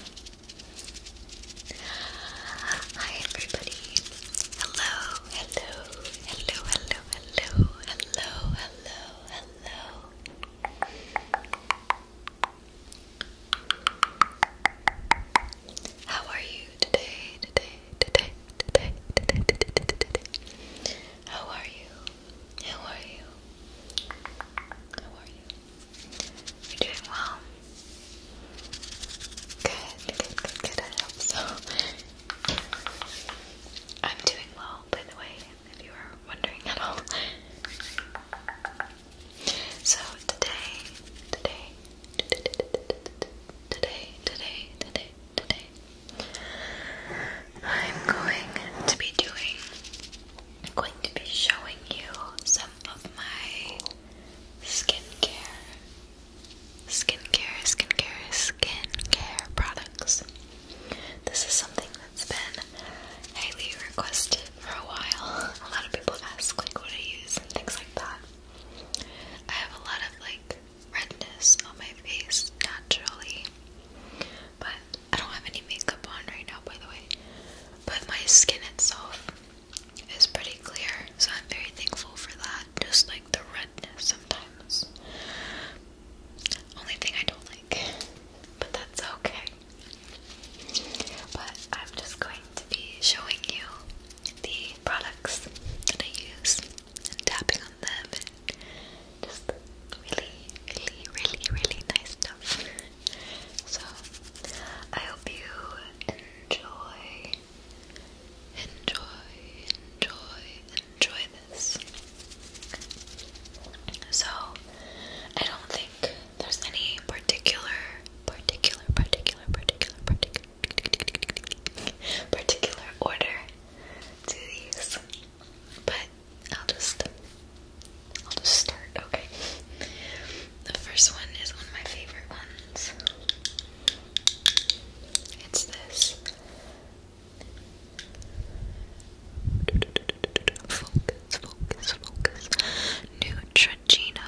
Hi everybody. Hello, hello, hello, hello, hello, hello, hello, How are you today, today, today, today, today, today, today, today? How are you? How are you? How are you? You're doing well. Good, good, good, I hope so. I'm doing well, by the way, if you were wondering at all. So today, today, today, today, today, today, I'm going to be doing, I'm going to be showing you so of my skincare, skincare, skincare, skincare products. This is something that's been highly requested for a while. A lot of people ask like what I use and things like that. I have a lot of like redness on my face naturally, but I don't have any makeup on right now, by the way but my skin itself is pretty clear, so I'm very thankful for that. Just like the redness sometimes. Only thing I don't like, but that's okay. But I'm just going to be showing you the products that I use and tapping on them just really, really, really, really nice stuff. So, I hope you enjoy, enjoy, enjoy, enjoy this. So, I don't think there's any particular, particular, particular, particular, particular, particular order to these, but I'll just I'll just start, okay. The first one is one of my favorite ones. It's this Focus, focus, focus. Neutrogena.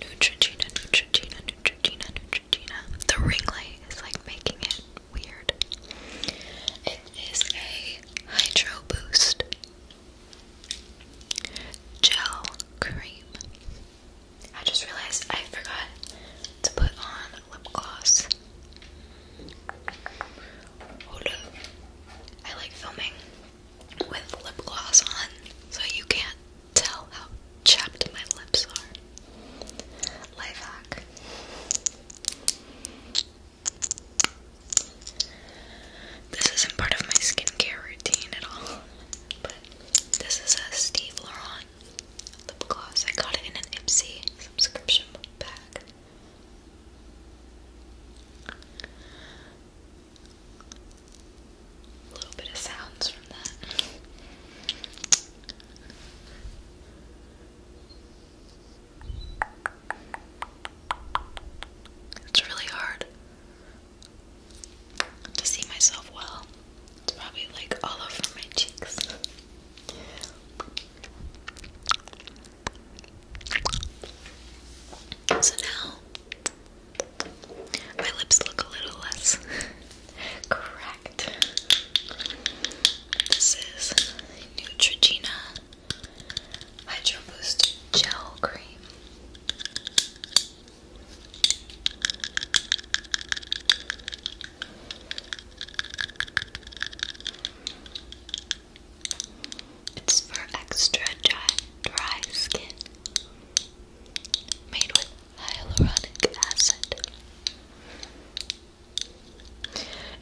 Neutrogena, Neutrogena, Neutrogena, Neutrogena. The ring light is like making it weird. It is a hydro boost. Gel cream. I just realized I forgot to put on lip gloss. Hold I like filming with lip gloss on so you can't tell how chapped my lips are. Life hack. This isn't part of my skincare routine at all, but this is a Steve Laurent lip gloss. I got it in an Ipsy subscription bag. A little bit of sounds from that. It's really hard to see myself well. It's probably like all over my cheeks. So now my lips look a little less cracked. This is Neutrogena Hydro Boost Gel Cream. It's for extra dry, skin. Made with hyaluronic acid.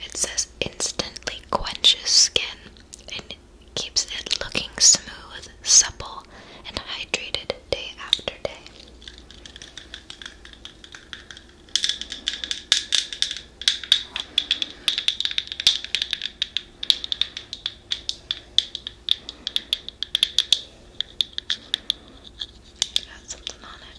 It says instantly quenches skin and keeps it looking smooth, supple, and hydrated day after day. Got something on it.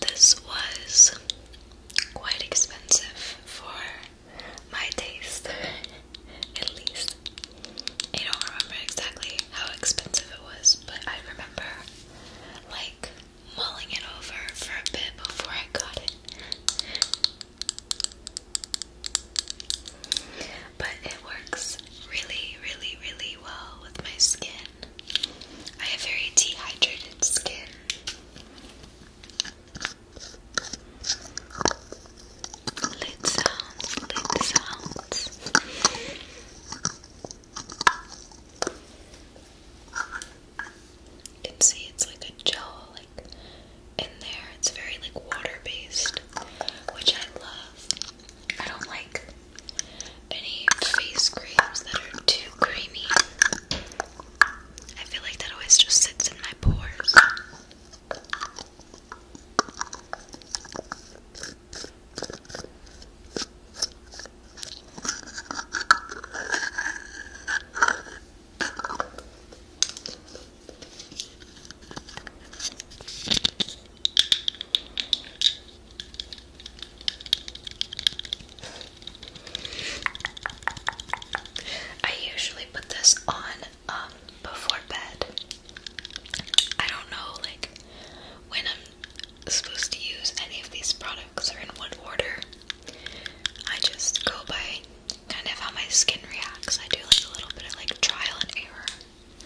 This was quite expensive for my taste, at least. I don't remember exactly how expensive it was, but I remember like mulling it over for a bit before I got it. But it works really, really, really well with my skin. I have very dehydrated skin. Lid sounds, lid sounds. You can see it's like a gel like in there. It's very like water based, which I love. I don't like any face creams that are too creamy. I feel like that always just sits in my pores. I usually put this on um before bed. I don't know like when I'm supposed to use any of these products or in what order. I just go by kind of how my skin reacts. I do like a little bit of like trial and error.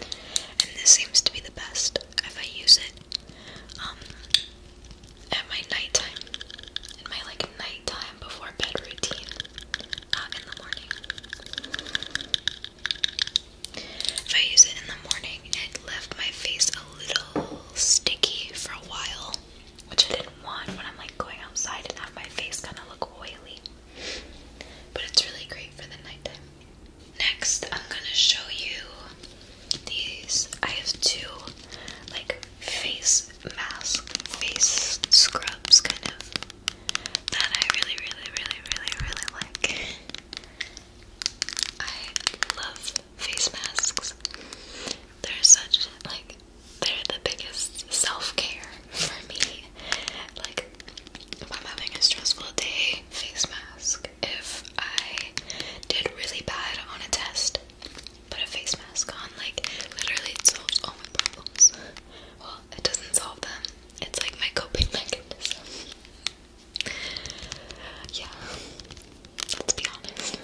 And this seems to be the best if I use it um, at my nighttime, in my like nighttime before bed routine, not uh, in the morning. If I use it in the morning, it left my face a little sticky for a while which I didn't want when I'm like going outside and have my face kind of look oily. But it's really great for the nighttime. Next, I'm gonna show you these. I have two like face mask, face scrubs kind of that I really, really, really, really, really like. I love face masks. They're such like they're the biggest self-care for me. Like if I'm having a stressful day, face mask. If I did really bad on a test, put a face mask on. Like literally it solves all my problems. Well, it doesn't solve them. It's like my coping mechanism. yeah. Let's be honest.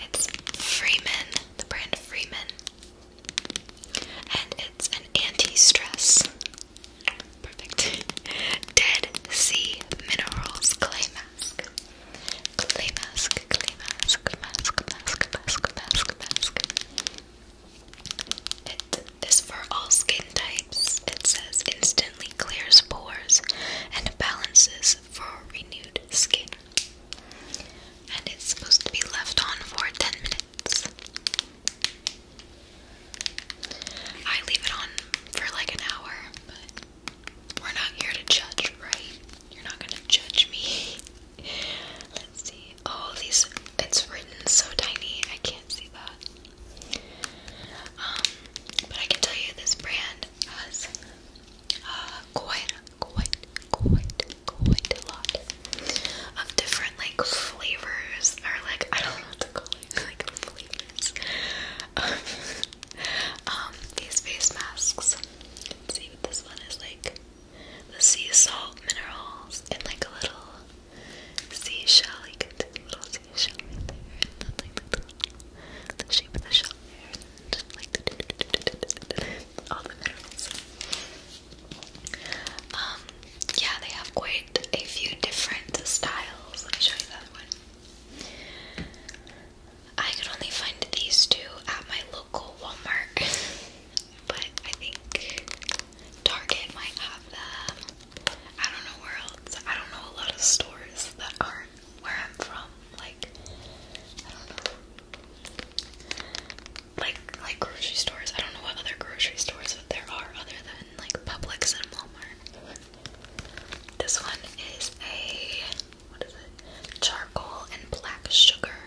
It's Freeman, the brand Freeman. And it's an anti-stress. Perfect. Dead Sea Minerals Clay Mask. Clay mask, clay mask, mask, mask, mask, mask, mask. It is for all skin types. It says instantly clears pores and balances is for renewed skin. And it's supposed to be left on for 10 minutes. I leave it on for like an hour, but we're not here to judge, right? You're not gonna judge me. Let's see. Oh, these, it's written so tiny, I can't see that. Um, but I can tell you this brand quite, quite, quite, quite a lot of different like flavors, or like I don't know what to call it, like flavors. um, these face masks. see what this one is like. The sea salt minerals and like a little seashell. You can do a little seashell there. And then like the, shape of the shell there. Um, yeah, they have quite a few different styles. Let me show you the other one. I could only find these two at my local Walmart, but I think Target might have them. I don't know where else. I don't know a lot of stores that are where I'm from. Like I don't know. Like like grocery stores. I don't know what other grocery stores that there are other than like Publix and Walmart. This one is a what is it? Charcoal and black sugar.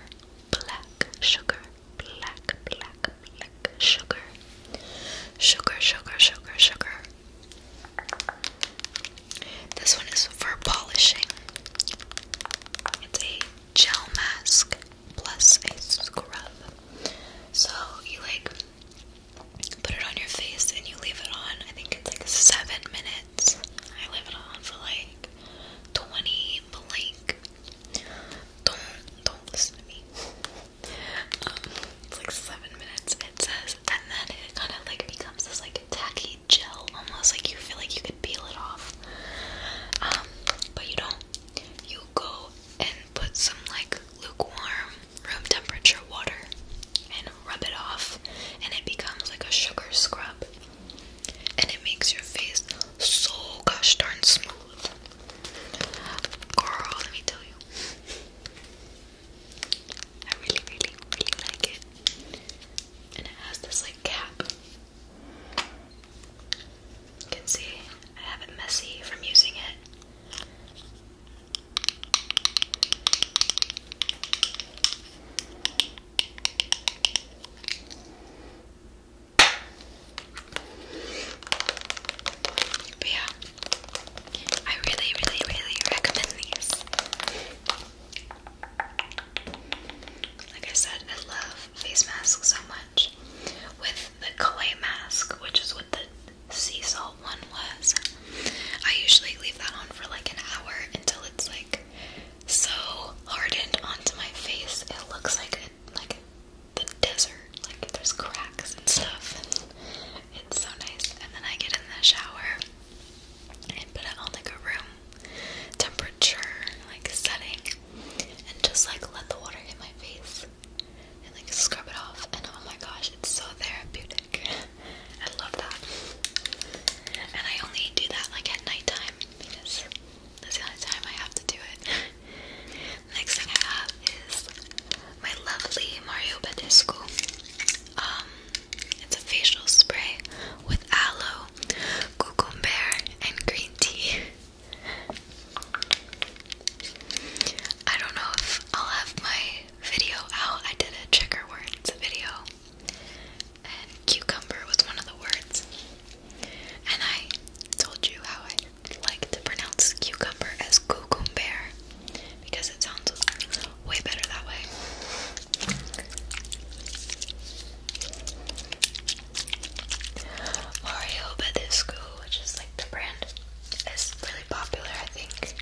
Black sugar. Black, black, black sugar. Sugar, sugar, sugar, sugar. This one is for polishing. It's a gel mask plus a scrub. So you like put it on your face and you leave it on. I think it's like seven minutes. I leave it on for like 20 blink. Don't don't listen to me. Um, it's like seven minutes. It says and then it kind of like becomes this like tacky gel almost like you feel like you could peel it off um, but you don't you go and put some like lukewarm room temperature water and rub it off and it becomes like a sugar scrub and it makes your face so gosh darn smooth girl let me tell you I really, really, really like it. And it has this like cap. You can see I have it messy from using it. yeah, I really, really, really recommend these. Like I said, I love face masks so much. With the clay mask, which is what the sea salt one was, I usually leave that on for like an hour until it's like so hardened onto my face. It looks like a, like the desert, like there's cracks and stuff. It's so nice. And then I get in the shower and put it on like a room temperature like setting and just like let the water hit my face and like scrub it off and oh my gosh it's so therapeutic. I love that. And I only do that like at nighttime because that's the only time I have to do it. Next thing I have is my lovely Mario Badescu. Um, it's a facial spray with aloe, cucumber, and green tea. I don't know if I'll have my video out. I did a trigger words video, and cucumber was one of the words. And I told you how I like to pronounce cucumber as cucumber because it sounds way better that way. Mario Badescu, which is like the brand, is really popular, I think.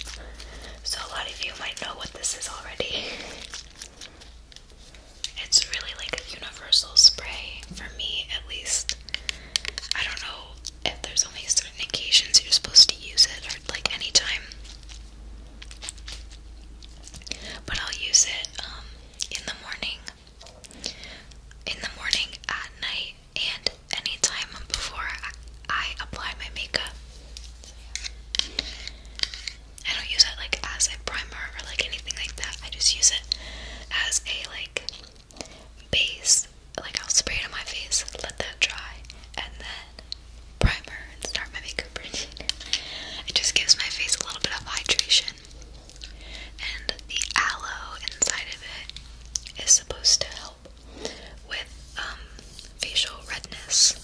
So a lot of you might know what this is already. It's really like a universal spray, for me at least. I don't know if there's only certain occasions you're supposed to use it, or like anytime. But I'll use it um, in the morning, in the morning, at night, and anytime before I apply my makeup. I don't use it like as a primer or like anything like that. I just use it as a like base like, I'll spray it on my face, let that dry, and then primer and start my makeup routine. It just gives my face a little bit of hydration. And the aloe inside of it is supposed to help with um, facial redness.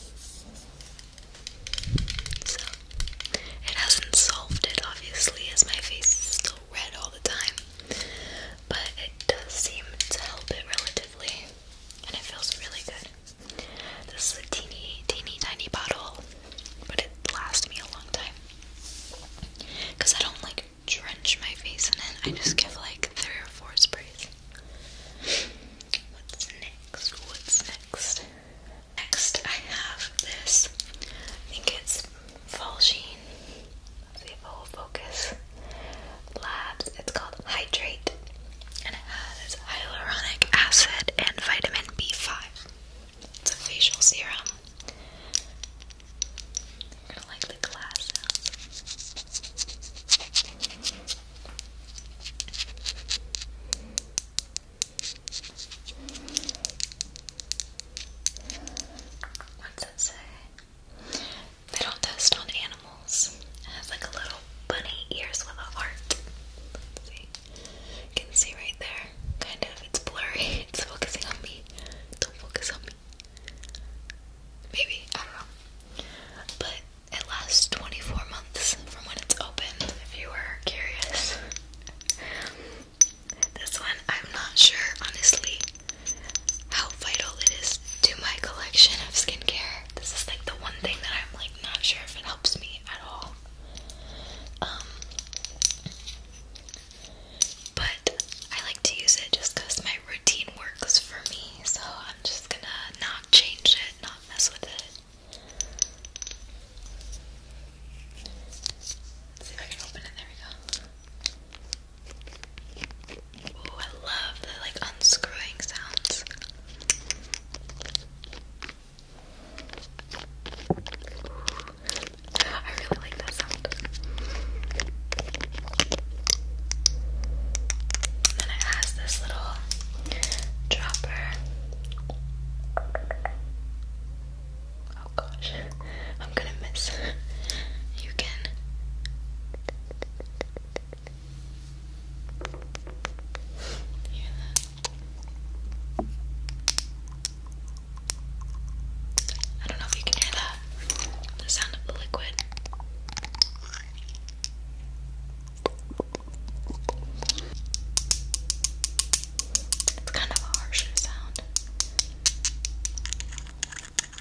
So, it hasn't solved it, obviously, as my face is still red all the time but it does seem to help it relatively, and it feels really good. This is a teeny, teeny, tiny bottle, but it lasts me a long time because I don't like drench my face in it. I just give like three or four sprays. What's next? What's next? Next, I have this. I think it's Falgene the Full Focus Labs. It's called Hydrate, and it has hyaluronic acid and vitamin B5. It's a facial serum. i like the glass What's it say? They don't test on animals. It has like a little bunny ears with a heart. You can see right there. Kind of. It's blurry. It's focusing on me. Don't focus on me. Maybe. I don't know. But it lasts 24 months from when it's open, if you were curious. this one, I'm not sure, honestly how vital it is to my collection of skincare. This is like the one thing that I'm like not sure if it helps me at all. Um, but I like to use it just because my routine works for me, so I'm just gonna not change it, not mess with it. see if I can open it. There we go. I love the like unscrewing sounds. I really like that sound. And then it has this little dropper. Oh gosh. I'm gonna miss. You can. I don't know if you can hear that. The sound of the liquid. It's kind of a harsher sound.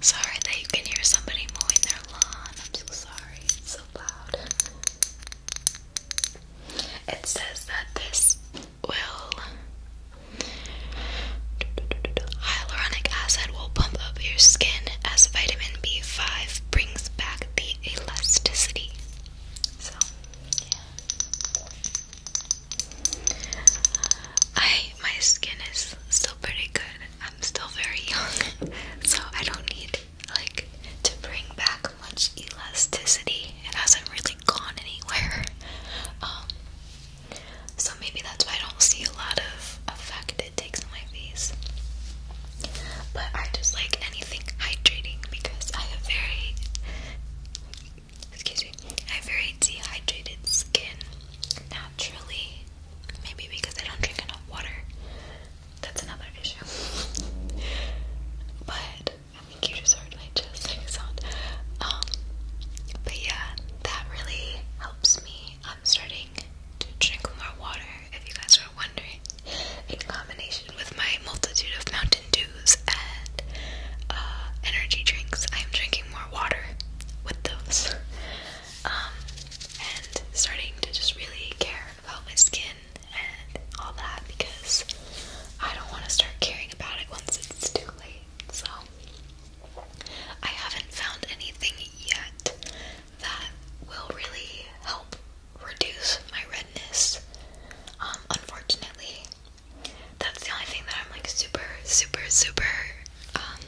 Sorry that you can hear somebody mowing their lawn. I'm so sorry. It's so loud. It says that this will. Hyaluronic acid will pump up your skin as vitamin B5 brings back the elasticity. So, yeah. I my skin is still pretty good. I'm still very young, so I don't need like to bring back much elasticity. It hasn't really gone anywhere. Um, so maybe that's why I don't see a lot of effect it takes on my face. But I just like anything hydrating because I have very excuse me, I have very dehydrated skin naturally. Maybe because I don't drink enough water. That's another issue. but I think you just heard my chest like sound. Um, but yeah, that really helps me. I'm starting to drink more water. If you guys are wondering, in combination with my multitude of Mountain Dews and uh, energy drinks, I am drinking more water with those. Um, and starting to just really care about my skin and all that because I don't want to start caring about it once it's too late. So I haven't found anything yet that will really help reduce my redness. Um, unfortunately, that's the only thing that I'm like super, super, super. Um,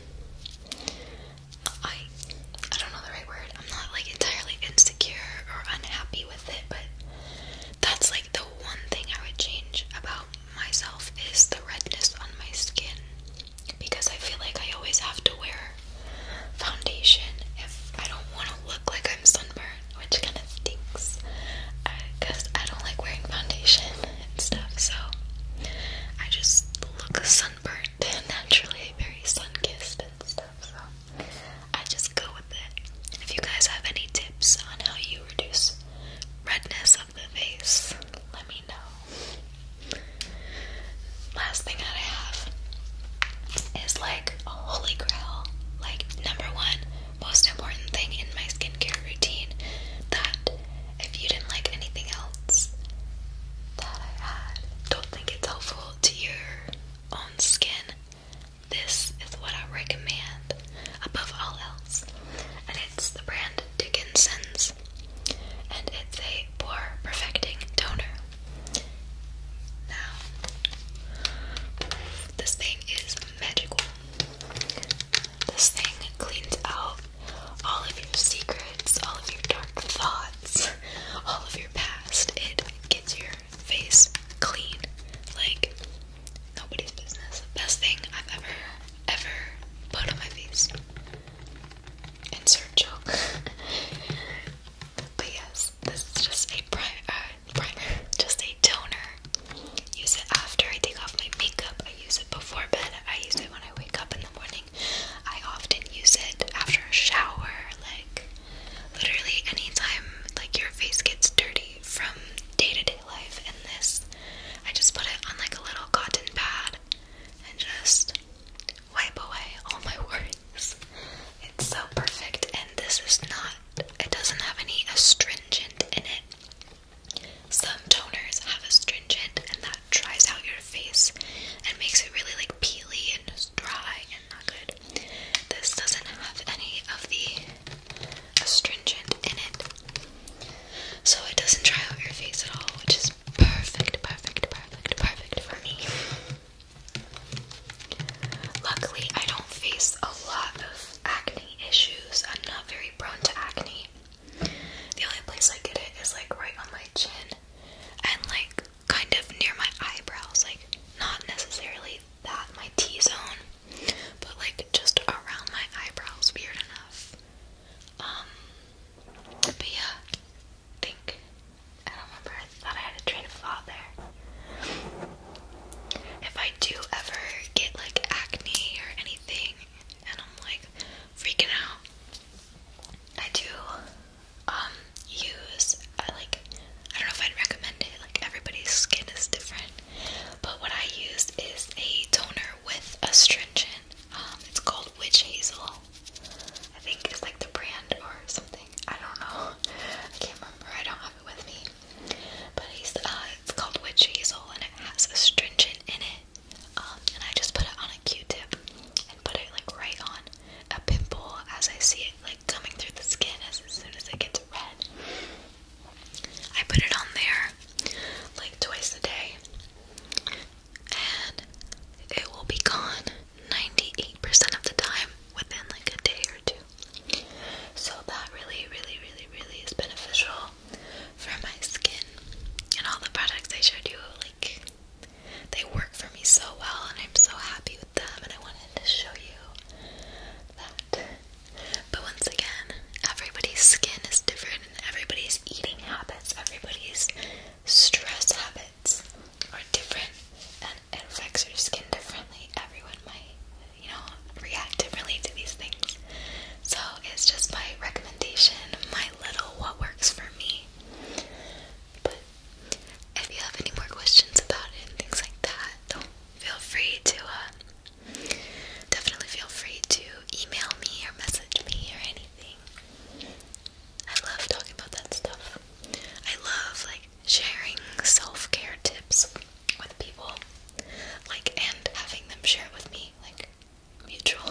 I I don't know the right word. I'm not like entirely insecure or unhappy with it, but that's like the one thing I would change about myself is the redness on my skin because I feel like I always have to wear foundation if I don't want to look like I'm sunburned, which kind of stinks because uh, I don't like wearing foundation and stuff, so I just look sunburnt naturally, very sun kissed and stuff, so I just go with it. if you guys have any tips on how you reduce redness of the face, let me know. Last thing I have is like a holy grail, like number one most important thing in my skincare routine that if you didn't like anything else that I had, don't think it's helpful to your own skin. This is what I recommend above all else, and it's the brand Dickinson's, and it's a pore perfecting toner. Now, this thing is magical. This thing cleans out all of your secrets, all of your dark thoughts, all of your past. It gets your face clean like nobody's business. Best thing I've ever, ever put on my face. Insert joke. but yes, this is just a uh, primer, just a toner Use it after I take off my makeup. I use it before bed. I use it when I wake up in the morning. I often use it after a shower. Like literally anytime like your face gets dirty from day-to-day -day life and this I just put it on like a little cotton pad and just wipe away all my worries. It's so perfect and this is not it doesn't have any astringent in it. Some toners have astringent, and that dries out your face and makes it really like peely and dry and not good. This doesn't have any of the astringent in it, so it doesn't dry out your face at all, which is perfect, perfect, perfect, perfect for me. Luckily, I don't face a lot of acne issues. I'm not very prone to acne. The only place I get it is like right on my chin and like kind of near my eyebrows, like not necessarily that my T zone, but like just around my eyebrows, weird enough. Um but yeah, I think I don't remember. I thought I had a train of thought there if I do ever get like acne or anything and I'm like freaking out, I do um, use like I don't know if I'd recommend it, like everybody's skin is different. But what I use is a toner with astringent. Um, it's called Witch Hazel. I think it's like the brand or something. I don't know. I can't remember. I don't have it with me. But uh, it's, called witch hazel and it has astringent in it. Um, and I just put it on a Q-tip and put it like right on a pimple as I see it like coming through the skin as soon as it gets red. I put it on there like twice a day and it will be gone 98% of the time within like a day or two. So that really, really, really, really is beneficial for my skin. And all the products I showed you, like, they work for me so well, and I'm so happy with them. And I wanted to show you that. But once again, everybody's skin is different, and everybody's eating habits, everybody's stress habits are different, and it affects your skin differently. Everyone might you know, react differently to these things. So it's just my recommendation, my little what works for me. But if you have any more questions about it and things like that, don't feel free to uh, definitely feel free to email me or message me or anything. I love talking about that stuff. I love like sharing self-care tips with people, like, and having them share it with me, like, mutual.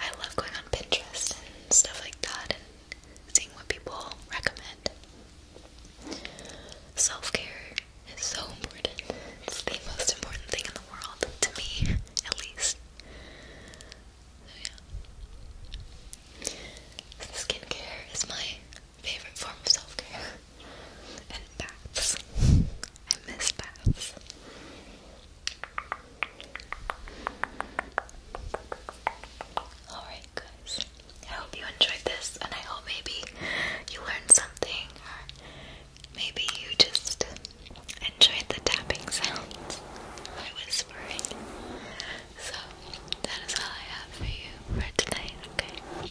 I love going on Pinterest and stuff like that and seeing what people recommend. Self care is so important, it's the most important thing in the world, to me, at least. yeah. Skincare is my favorite form of self care. And baths. I miss baths. Alright, guys. I hope you enjoyed this, and I hope maybe you learned something, maybe you just enjoyed the tapping sounds, my whispering. So, that is all I have for you for tonight, okay?